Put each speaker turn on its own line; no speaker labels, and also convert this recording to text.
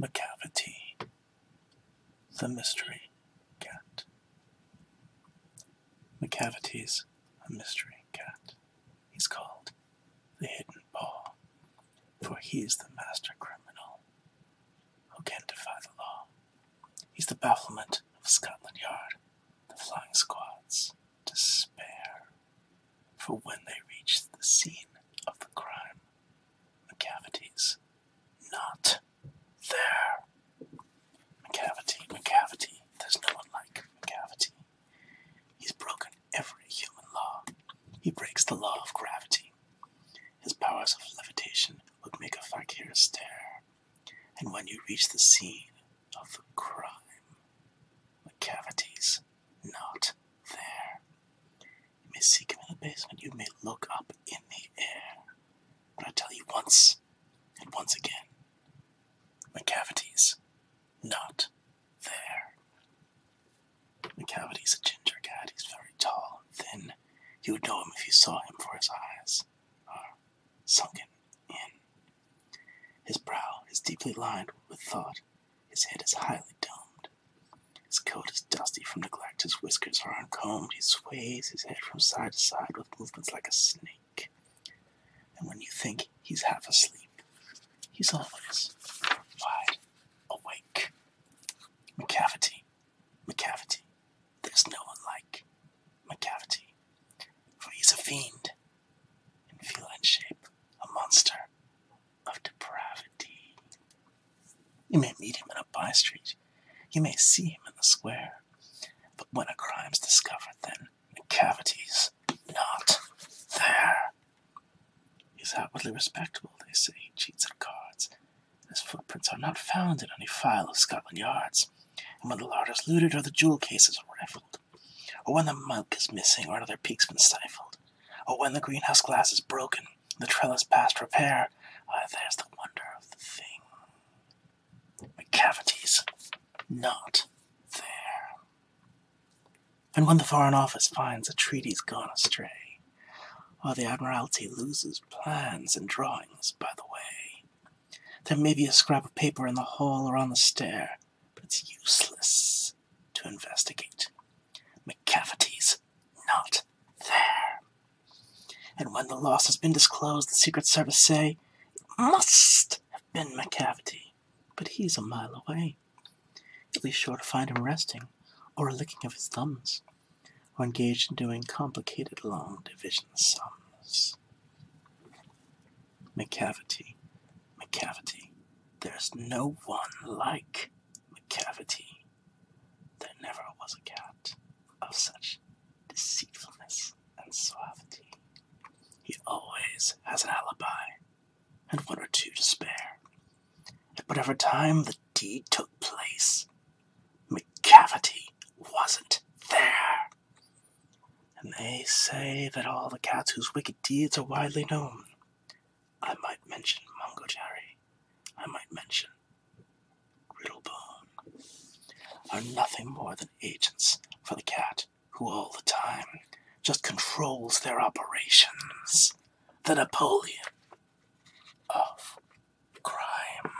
McCafferty, the mystery cat. McCafferty's a mystery cat. He's called the Hidden Paw, for he's the master criminal who can defy the law. He's the bafflement of Scotland Yard, the flying squad's despair, for when they reach the scene of the crime, McCavities. Not there. McCavity, McCavity. There's no one like McCavity. He's broken every human law. He breaks the law of gravity. His powers of levitation would make a fakir stare. And when you reach the scene of the crime, McCavities not there. You may seek him in the basement, you may look up in the air. But I tell you once and once again, McCavity's not there. McCavity's a ginger cat, he's very tall and thin. You would know him if you saw him, for his eyes are sunken in. His brow is deeply lined with thought, his head is highly domed. His coat is dusty from neglect, his whiskers are uncombed. He sways his head from side to side with movements like a snake. And when you think he's half asleep, he's always wide awake. McCavity, McCavity, there's no one like McCavity, for he's a fiend in feline shape, a monster, of depravity. You may meet him in a by street, you may see him in the square, but when a crime's discovered, then the cavity's not there. He's outwardly respectable, they say. He cheats at cards. His footprints are not found in any file of Scotland Yards, and when the larder's looted or the jewel cases rifled, or oh, when the milk is missing, or another peak's been stifled, or oh, when the greenhouse glass is broken, the trellis past repair. Ah, there's the wonder of the thing. cavities, not there. And when the Foreign Office finds a treaty's gone astray, or the Admiralty loses plans and drawings by the way, there may be a scrap of paper in the hall or on the stair, but it's useless to investigate. McCafferty's not there. And when the loss has been disclosed, the Secret Service say it must have been McCafferty, but he's a mile away. You'll sure to find him resting, or licking of his thumbs, or engaged in doing complicated long division sums. McCavity, McCavity. There's no one like McCavity. There never was a cat of such deceitfulness and suavity. He always has an alibi and one or two to spare. At whatever time the deed took place, McCavity wasn't there and they say that all the cats whose wicked deeds are widely known. I might mention Mungo I might mention Griddlebone, are nothing more than agents for the cat who all the time just controls their operations. The Napoleon of crime.